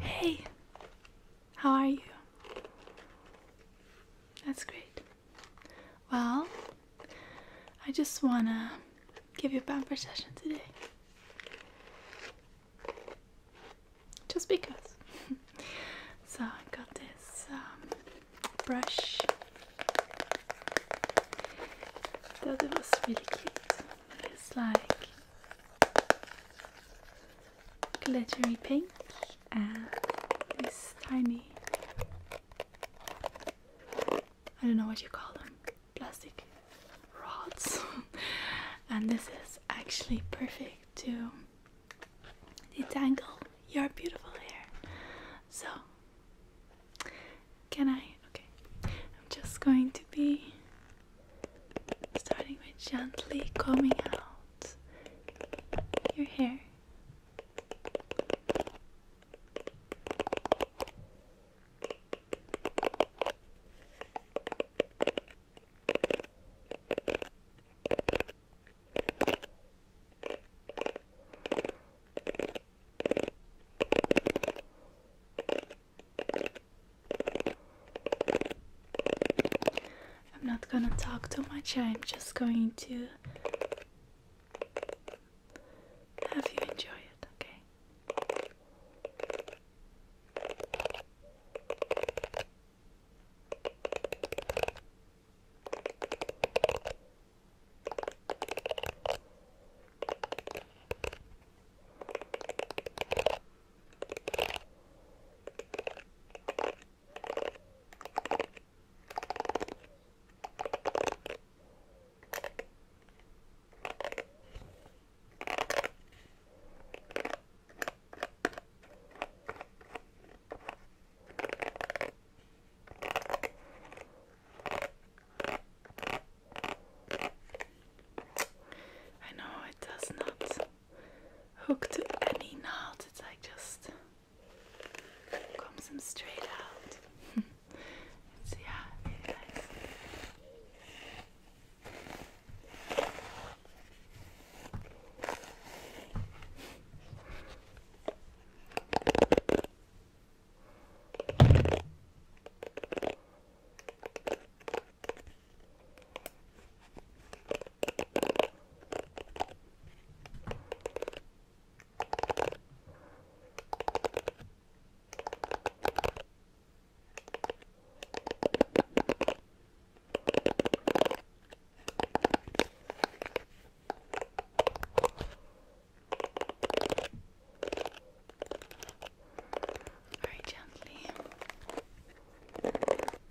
Hey, how are you? That's great. Well, I just want to give you a pamper session today. Just because. so I got this um, brush. Thought it was really cute. It's like glittery pink and this tiny I don't know what you call them plastic rods and this is actually perfect to detangle your beautiful hair so can I okay I'm just going to be starting with gently combing out your hair. I'm not gonna talk too much, I'm just going to have you enjoy it, okay? I know it does not hooked up any knot. It's like just comes straight out. it's yeah, very gently.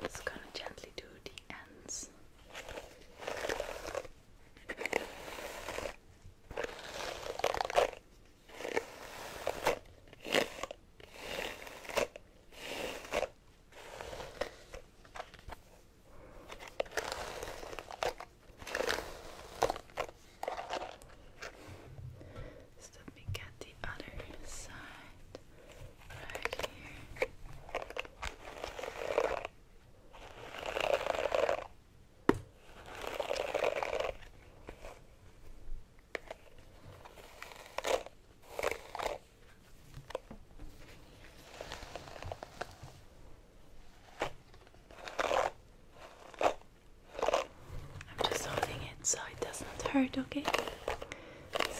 Just gonna gently do the ends. let me get the other side. I'm just holding it so it doesn't hurt, okay?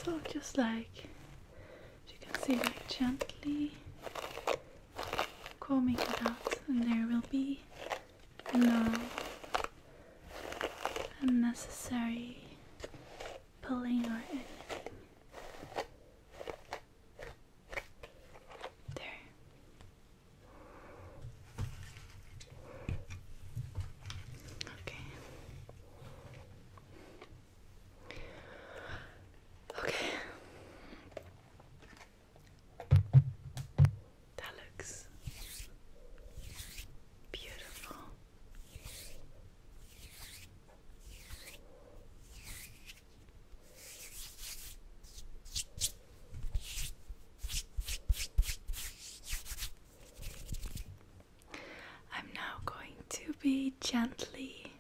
So just like you can see like gently combing it out and there will be no unnecessary pulling or anything. There. Okay. Okay. That looks beautiful. I'm now going to be gently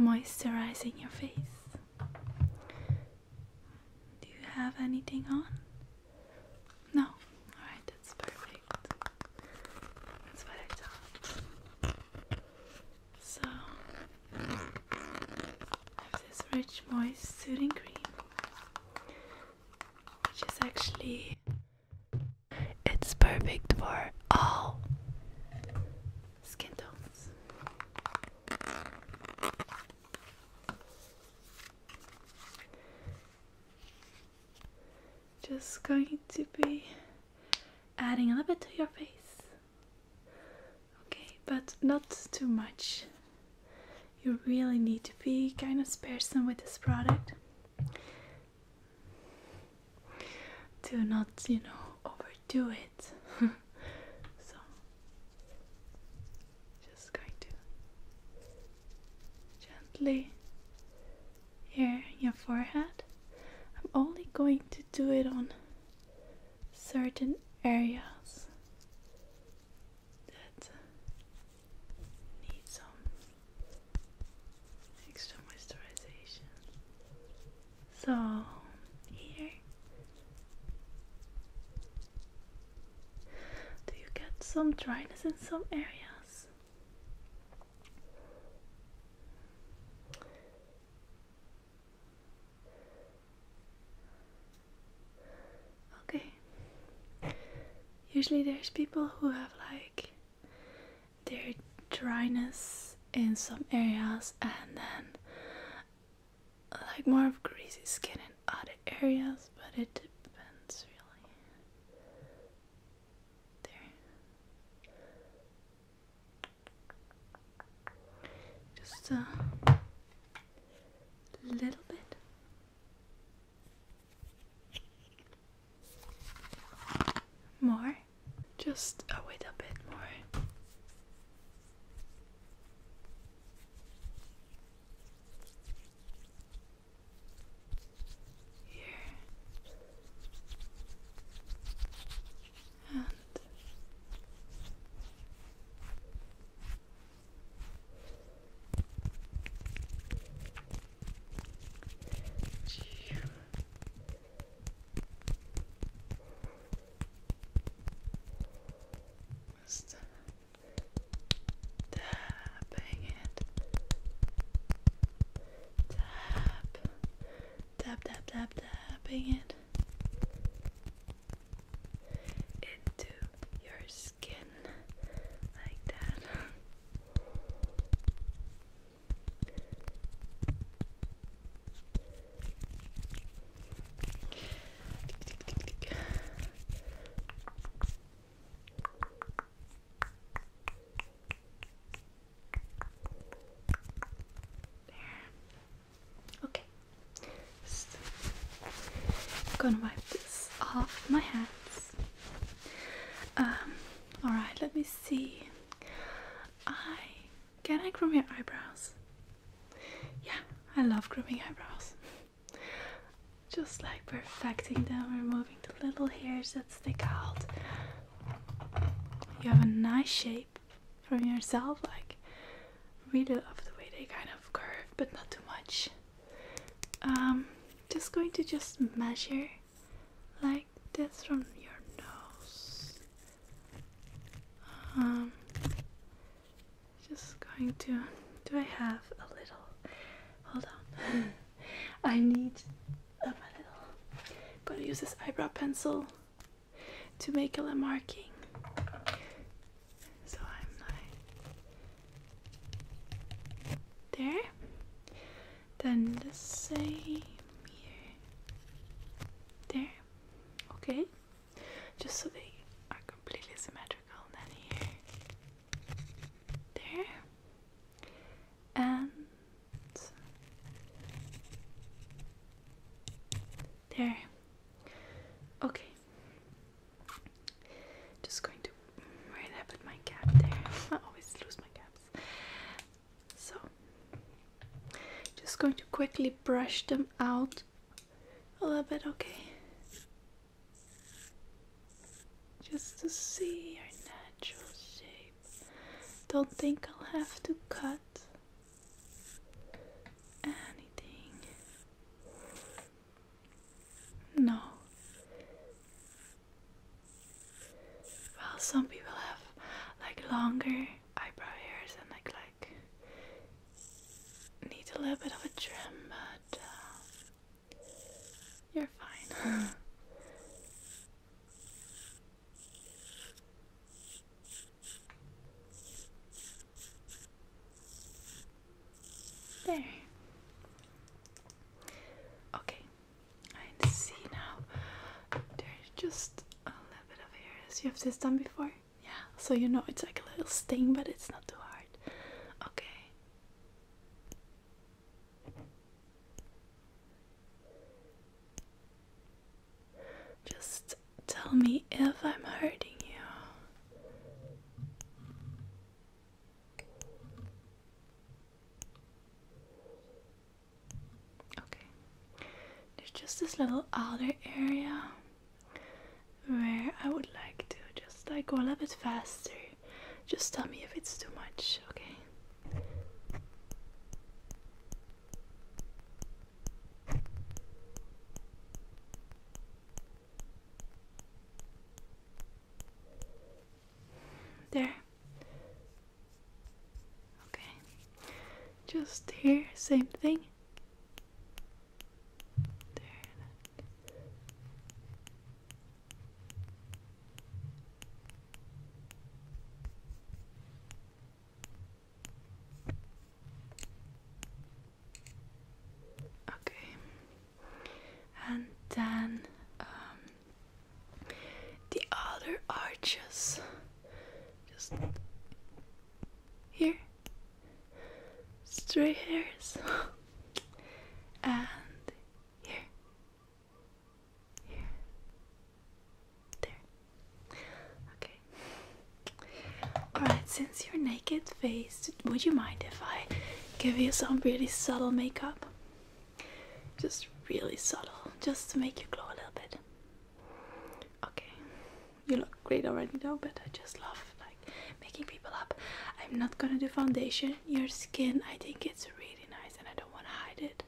moisturizing your face. Do you have anything on? No? Alright, that's perfect. That's what I thought. So, I have this rich, moist, soothing cream, which is actually it's perfect for all skin tones. Just going to be adding a little bit to your face. Okay, but not too much. You really need to be kind of sparsome with this product to not, you know, overdo it. so, just going to gently here your forehead. I'm only going to do it on certain areas that need some extra moisturization. So, here, do you get some dryness in some areas? Okay. Usually, there's people who have like there's dryness in some areas and then like more of greasy skin in other areas, but it depends really. Just a little bit. More? Just a oh, wait a bit more. Here. And What's that? Tapping it. Tap. Tap, tap, tap, tapping it. Into your skin like that. Okay. I'm gonna wipe this off my hands. Um, all right, let me see. I can I groom your eyebrows? Yeah, I love grooming eyebrows. Just like perfecting them, removing the little hairs that stick out. You have a nice shape from yourself, like really love the way they kind of curve, but not too much. Um, just going to just measure like this from your nose. Um, just going to. Do I have a little? Hold on. I need a little. I'm gonna use this eyebrow pencil to make a little marking. So I'm like there. Then the same here. There. Okay. Just so they are completely symmetrical. And then here. There. And there. Okay. Just going to where did I my cap there? I always lose my caps. So, just going to quickly brush them out a little bit, okay? Just to see your natural shape. Don't think I'll have to cut anything. No. Well, some people have like longer eyebrow hairs and like like need a little bit of a trim, but uh, you're fine. there. Okay. I see now. There's just a little bit of hair. So you have this done before? Yeah. So you know it's like a little sting, but it's not too hard. Okay. Just tell me if I'm hurting you. Okay. There's just this little outer area where I would like to just like go a little bit faster. Just tell me if it's too much, okay? There. Okay. Just here, same thing. There. Okay. And then um, the other arches just here, straight hairs, and here, here, there. Okay. Alright, since you're naked faced, would you mind if I give you some really subtle makeup? Just really subtle, just to make you glow a little bit. Okay, you look great already though, but I just love like making people up. I'm not gonna do foundation. Your skin, I think it's really nice, and I don't want to hide it.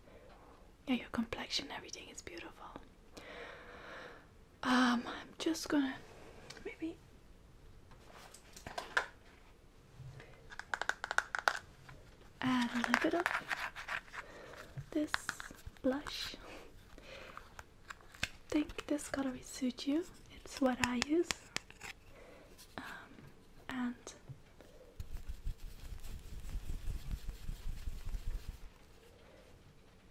Yeah, your complexion, everything is beautiful. Um, I'm just gonna maybe add a little bit of this blush. I think this gonna suit you. It's what I use. Um, and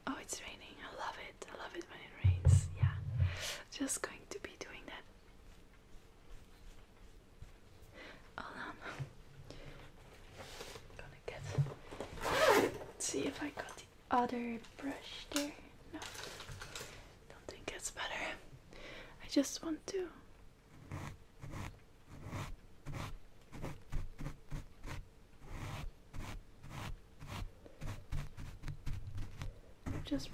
oh, it's raining. I love it. I love it when it rains. Yeah, just going to be doing that I'll gonna get. Let's see if I got the other brush there. No, don't think it's better. I just want to. Just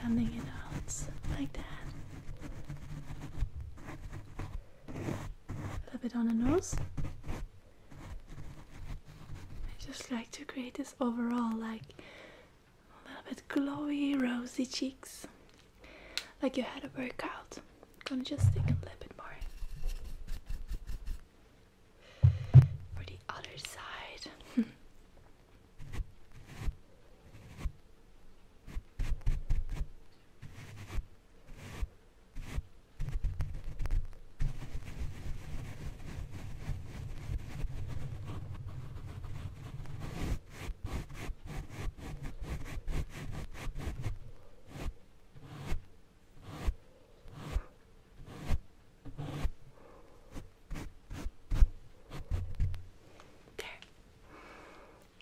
blending it out like that a little bit on the nose. I just like to create this overall like a little bit glowy, rosy cheeks, like you had a workout. gonna just stick a little bit more for the other side.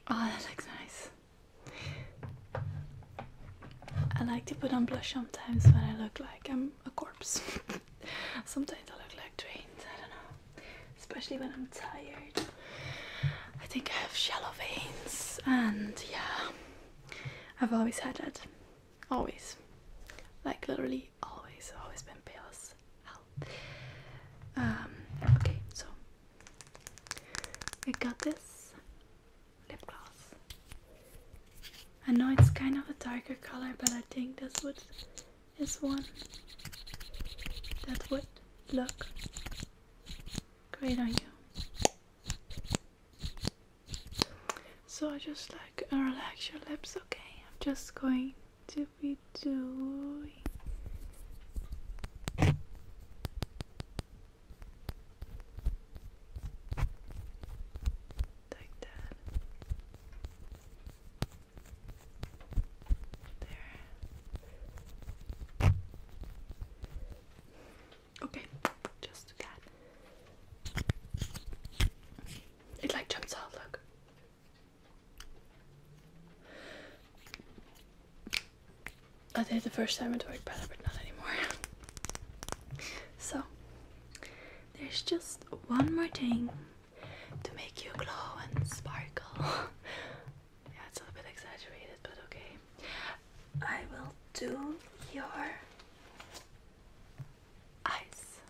Oh, that looks nice. I like to put on blush sometimes when I look like I'm a corpse. sometimes I look like drained, I don't know. Especially when I'm tired. I think I have shallow veins and yeah. I've always had that. Always. Like literally always, always been pale Um, okay, so I got this lip gloss. I know it's kind of a darker color, but I think this would is one thats what look great on you. So I just like relax your lips, okay? I'm just going to be doing like that. There. Okay, just that. It like jumps out, look. I did the first time it worked better, but not anymore. so, there's just one more thing to make you glow and sparkle. yeah, it's a bit exaggerated, but okay. I will do your eyes.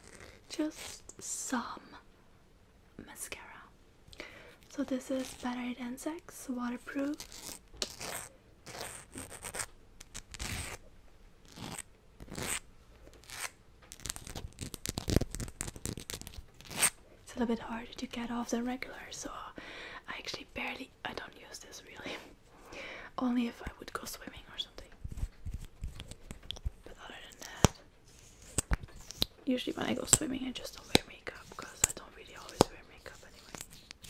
Just some mascara. So this is Better Than Sex waterproof. It's a little bit harder to get off than regular, so I actually barely I don't use this really. Only if I would go swimming or something usually when I go swimming I just don't wear makeup because I don't really always wear makeup anyway.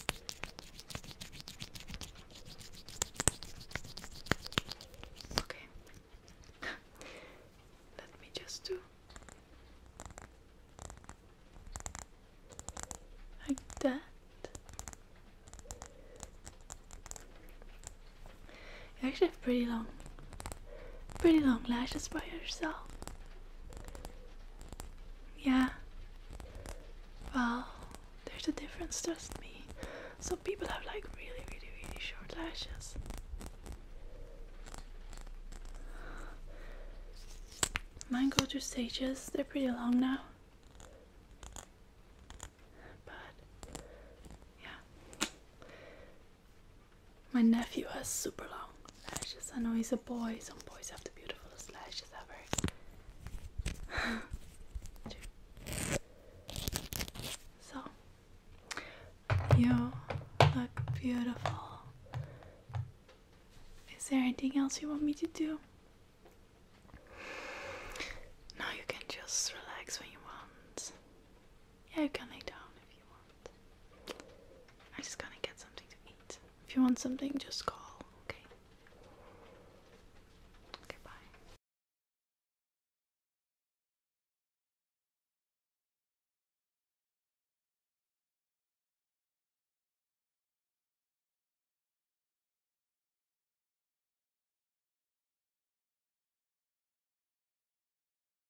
Okay. Let me just do like that. You actually have pretty long pretty long lashes by yourself. Yeah. Well, there's a difference, trust me. Some people have like really, really, really short lashes. Mine go through stages, they're pretty long now. But yeah. My nephew has super long lashes. I know he's a boy. Some boys have the beautifulest lashes ever. so, you look beautiful. Is there anything else you want me to do? Now you can just relax when you want. Yeah, you can lay down if you want. I just gotta get something to eat. If you want something, just call, okay? Okay, bye.